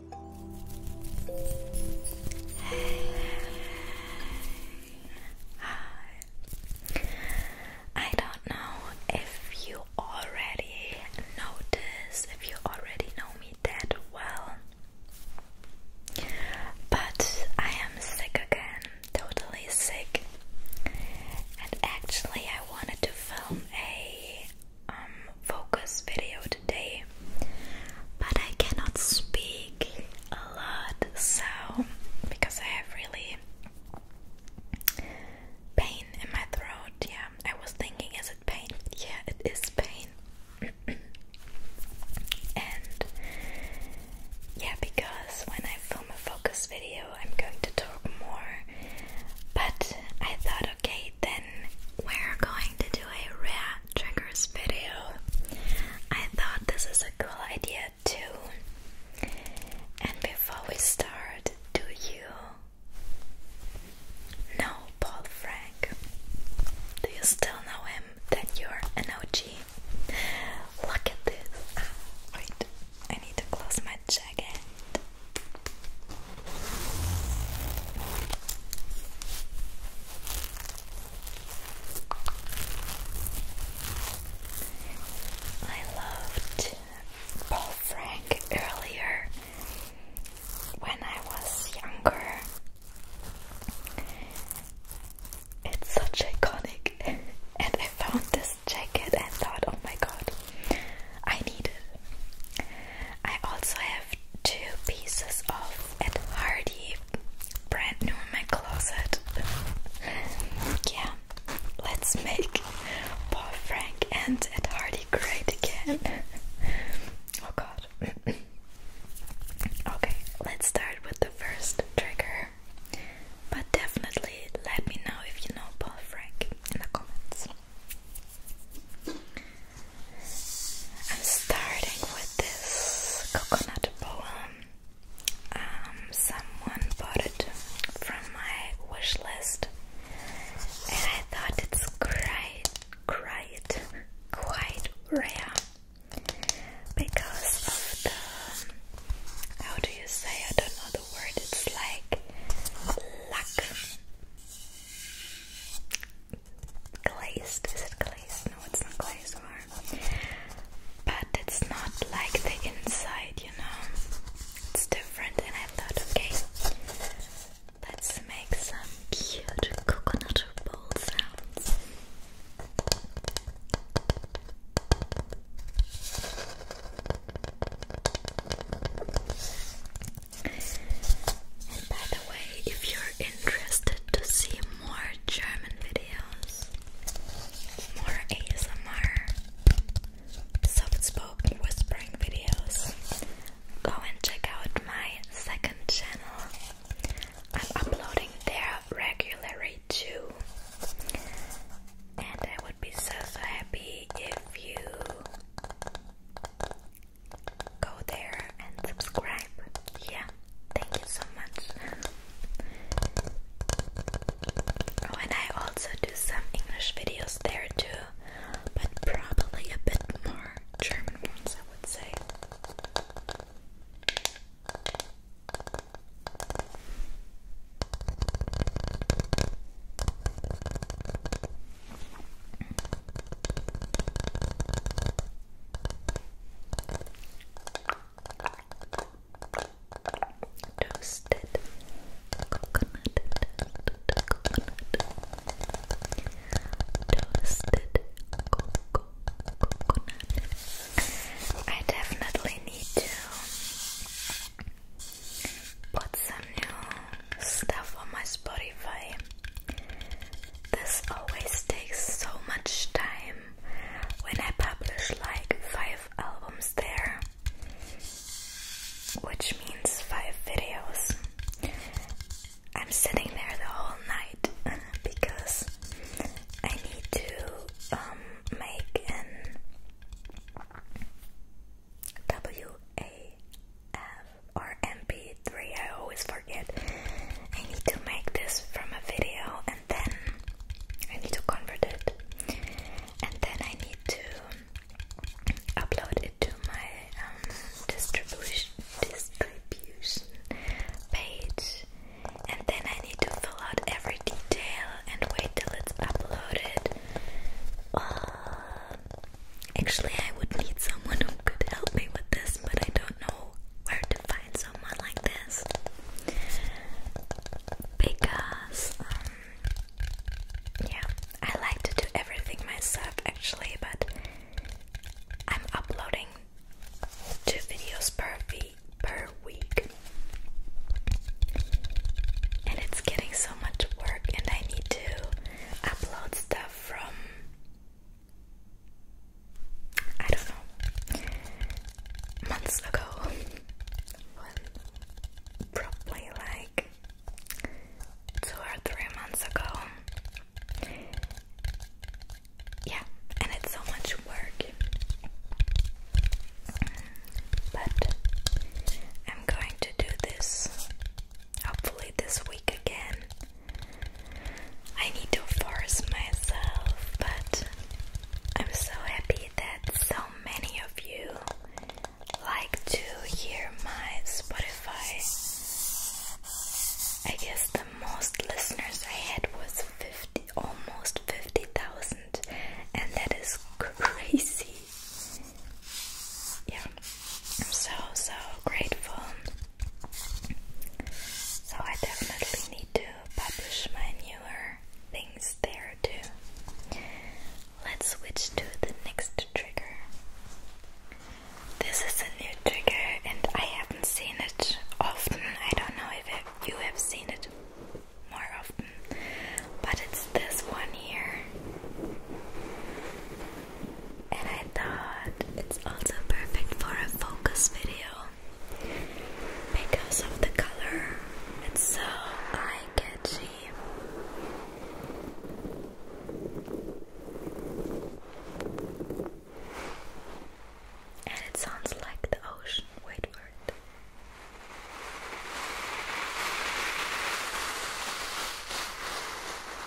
Hi. I don't know if you already notice, if you already know me that well, but I am sick again, totally sick. And actually, I wanted to film a um, focus video today, but I cannot speak a lot, so because I have really pain in my throat. Yeah, I was thinking, is it pain? Yeah, it is pain. and yeah, because when I film a focus video, I'm going to talk more, but I thought, okay, then we're going to do a rat triggers video. I thought this is a cool idea too. And before we start, do you know Paul Frank? Do you still know him? That you're an OG? Look at this. Ah, wait, I need to close my jacket. I loved Paul Frank earlier when I was younger. It's such iconic, and I found this jacket and thought, oh my god, I need it. I also have two pieces of Ed Hardy brand new in my closet. yeah, let's make Paul Frank and Ed Hardy great again. oh god. okay, let's start with the first trigger. But definitely let me know if you know Paul Frank in the comments. I'm starting with this coconut poem. Um, someone bought it from my wish list, and I thought it's quite, quite, quite rare because of the how do you say? I don't know the word. It's like luck glazed. Is it glazed? No, it's not glazed or but it's not like the inside, you know. It's different and I thought okay. Let's make some cute coconut bowl sounds by the way, if you're interested to see more German videos, more ASMR, soft spoken whispering videos, go and check out my second channel. I'm uploading there regularly too. And I would be so happy if you go there and subscribe. Yeah, thank you so much. Oh, and I also do some English videos there too, but probably a bit more German ones, I would say. Toasted coconut, I definitely need to put some new stuff on my Spotify. This always takes so much time when I publish like five albums there, which means five videos. I'm sitting there the whole night because I need to um, make an WAF 3 I always forget. I need to make this from a video and then I need to convert it. And then I need to upload it to my um, distribution distribution page. And then I need to fill out every detail and wait till it's uploaded. Uh, Actually, I would need someone who could help me with this, but I don't know where to find someone like this because, um, yeah, I like to do everything myself actually, but I'm uploading two videos per week. And it's getting so much work, and I need to upload stuff from I don't know months ago. probably like two or three months ago. Yeah, and it's so much work. But I'm going to do this Hopefully, this week again. I need to force myself, but I'm so happy that so many of you like to hear my Spotify. I guess the most listeners I had was 50, almost 50,000, and that is crazy yeah, I'm so so grateful. So I definitely need to publish my newer things there too. Let's switch to the next trigger. This is a new trigger and I haven't seen it often. I don't know if you have seen it more often, but it's this one here and I thought it's also perfect for a focus video because of the color. It's so eye catchy. And it sounds like the ocean. Wait for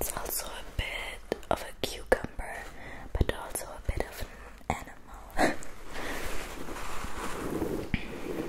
It's also a bit of a cucumber, but also a bit of an animal.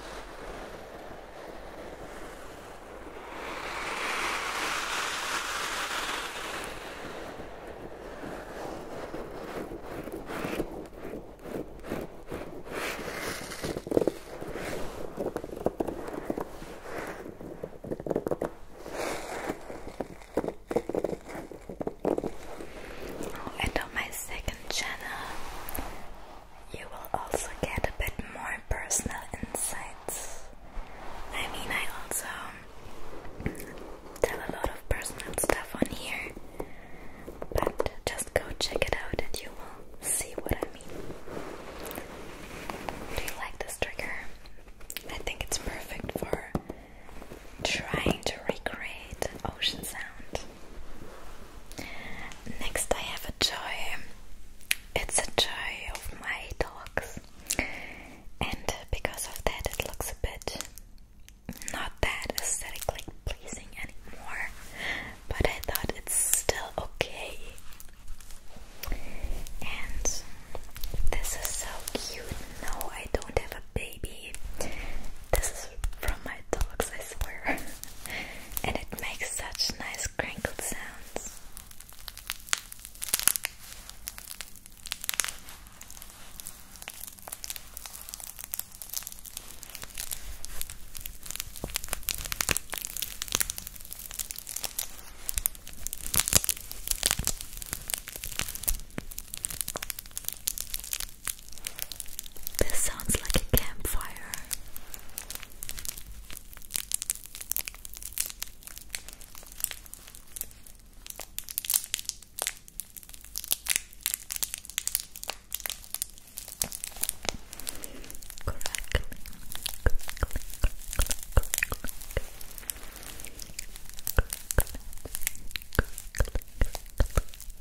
And on my second second channel, you will also get a bit more personal insights. I mean, I also tell a lot of personal stuff on here, but just go check it out and you will see what I mean. Do you like this trigger? I think it's perfect for trying to recreate ocean sound. Next, I have a joy. It's a joy of my dogs, and uh, because of that, it looks a bit not that aesthetically pleasing anymore. But I thought it's still okay. And this is so cute. No, I don't have a baby, this is from my dogs, I swear. and it makes such nice crinkled sounds. This sounds like a campfire.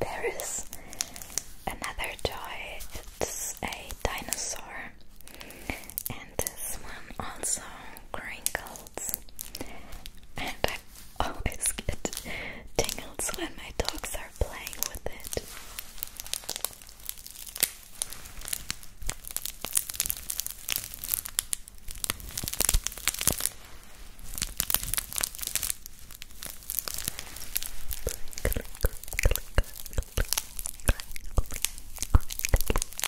There is another toy, it's a dinosaur and this one also crinkles. And I always get tingles when my dogs are playing with it.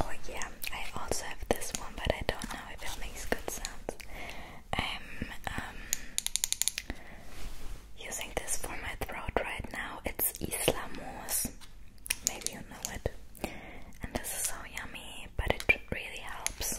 Oh yeah, I also have this one, but I don't know if it makes good sounds. I'm um, using this for my throat right now. It's Isla Moose. Maybe you know it. And this is so yummy, but it really helps.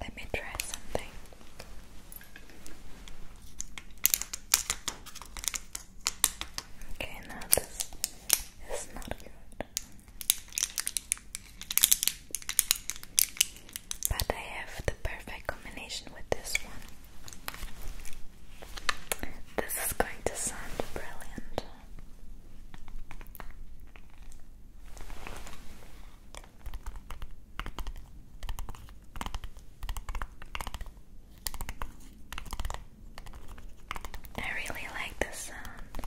Let me try something. Okay, now this is not good. But I have the perfect combination with this one. This is going to sound brilliant. I really like this sound.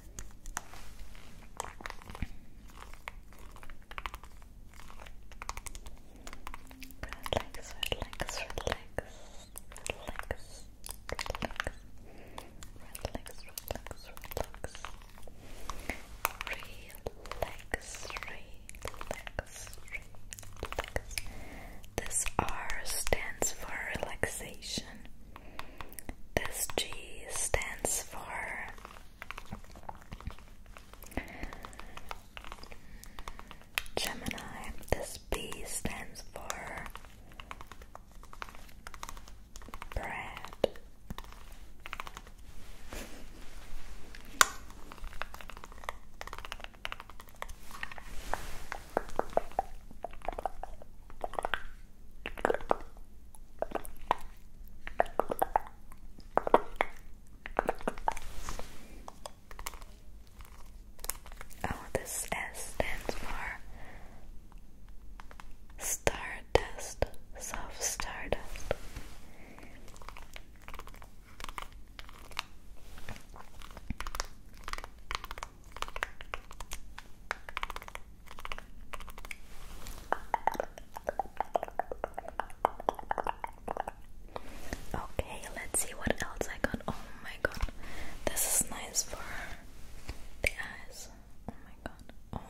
Relax, relax, relax, relax, relax. Relax, relax, relax. Relax, relax, relax. This R stands for relaxation. This G stands for Gemini. This B stands for bread. Oh, this S stands for Stardust, soft stardust. Okay, let's see what else I got. Oh my god, this is nice for the eyes. Oh my god, oh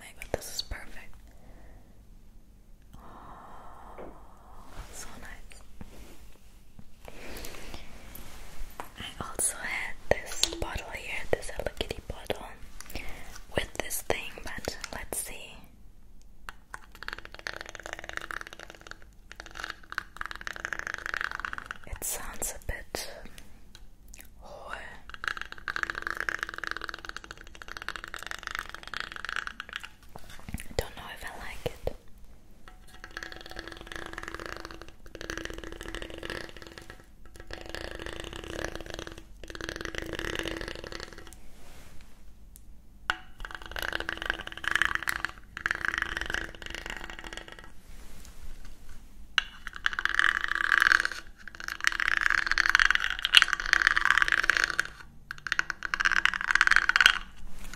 my god, this is perfect. Oh, so nice. I also had this bottle here, this Hello Kitty bottle with this thing, but let's see. It sounds a bit whole. Don't know if I like it.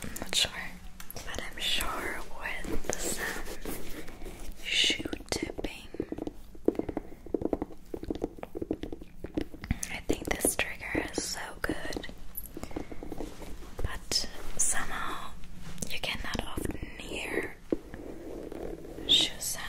I'm not sure, but I'm sure with some should be. I think this trigger is so good, but somehow you cannot often hear shoe sounds.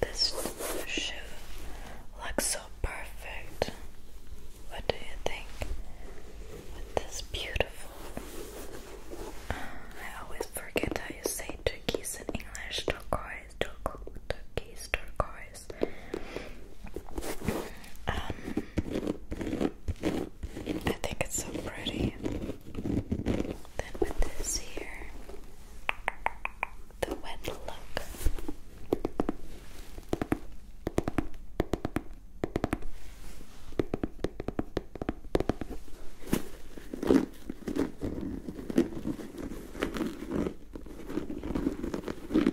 This shoe looks so perfect. What do you think? With beautiful. I always forget how you say Turkish in English, turquoise turquoise, turquoise, turquoise, Um, I think it's so pretty. Then with this here, the wet look.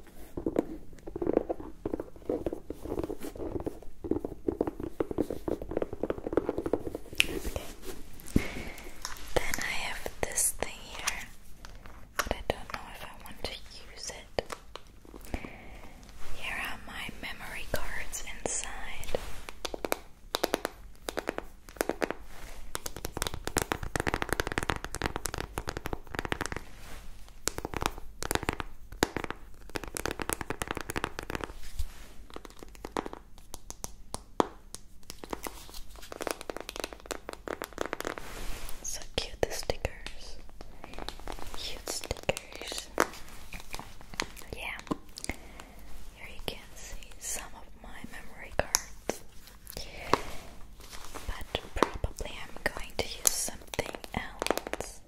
Okay. Then I have this thing here, but I don't know if I want to use it. Here are my memory cards inside. So cute the stickers. Cute stickers. Yeah. Here you can see some of my memory cards. But probably I'm going to use something else.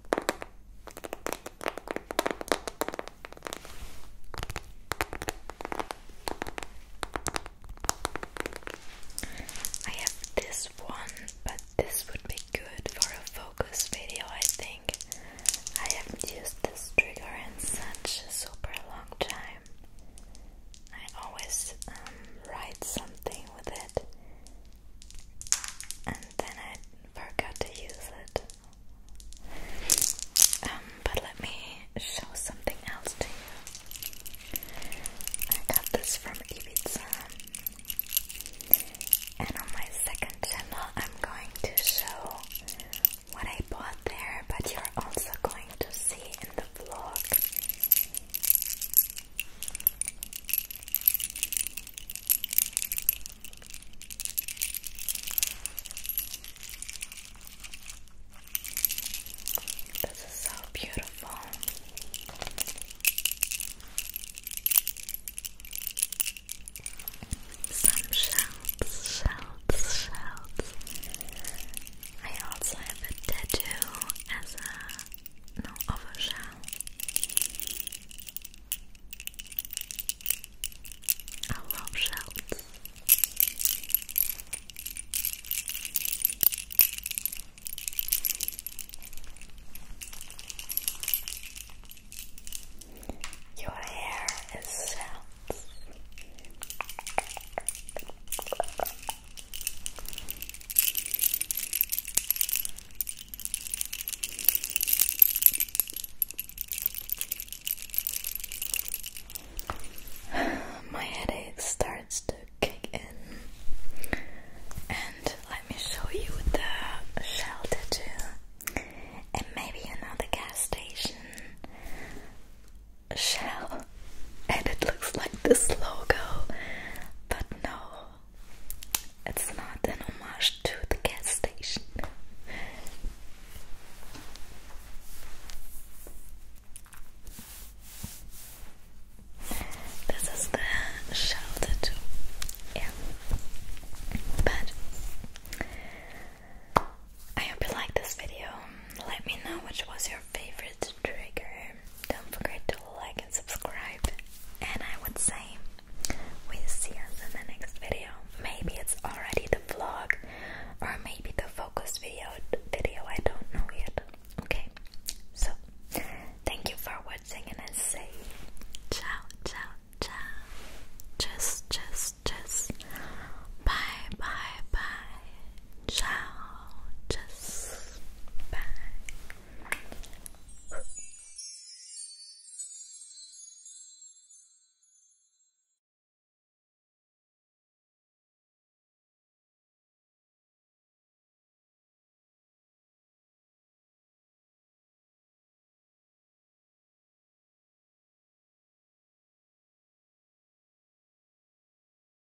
I have this one, but this would be good for a focus video, I think. I haven't used this trigger in such a super long time. I always um, write something with it and then I forgot to use it. Um, but let me show something else to you. I got this from Ibiza. And on my second channel, I'm going to show what I bought there, but you're also going to see in the vlog this is so beautiful. Some shouts, shouts, I also have a tattoo as a no, of a shell. I love shells. Your hair is shells. My headache starts to kick in, and let me show you the shelter too, and maybe another gas station shell and it looks like this logo, but no, it's not an homage to the gas station. This is the shelter too. Yeah. But I hope you liked this video. Let me know which was your favorite trigger. Don't forget to like and subscribe. And I would say we see us in the next video. Maybe it's already the vlog or maybe the focus video video, I don't know yet. Okay. So thank you for watching and I say ciao ciao ciao. Just just just bye bye bye. Ciao, just bye.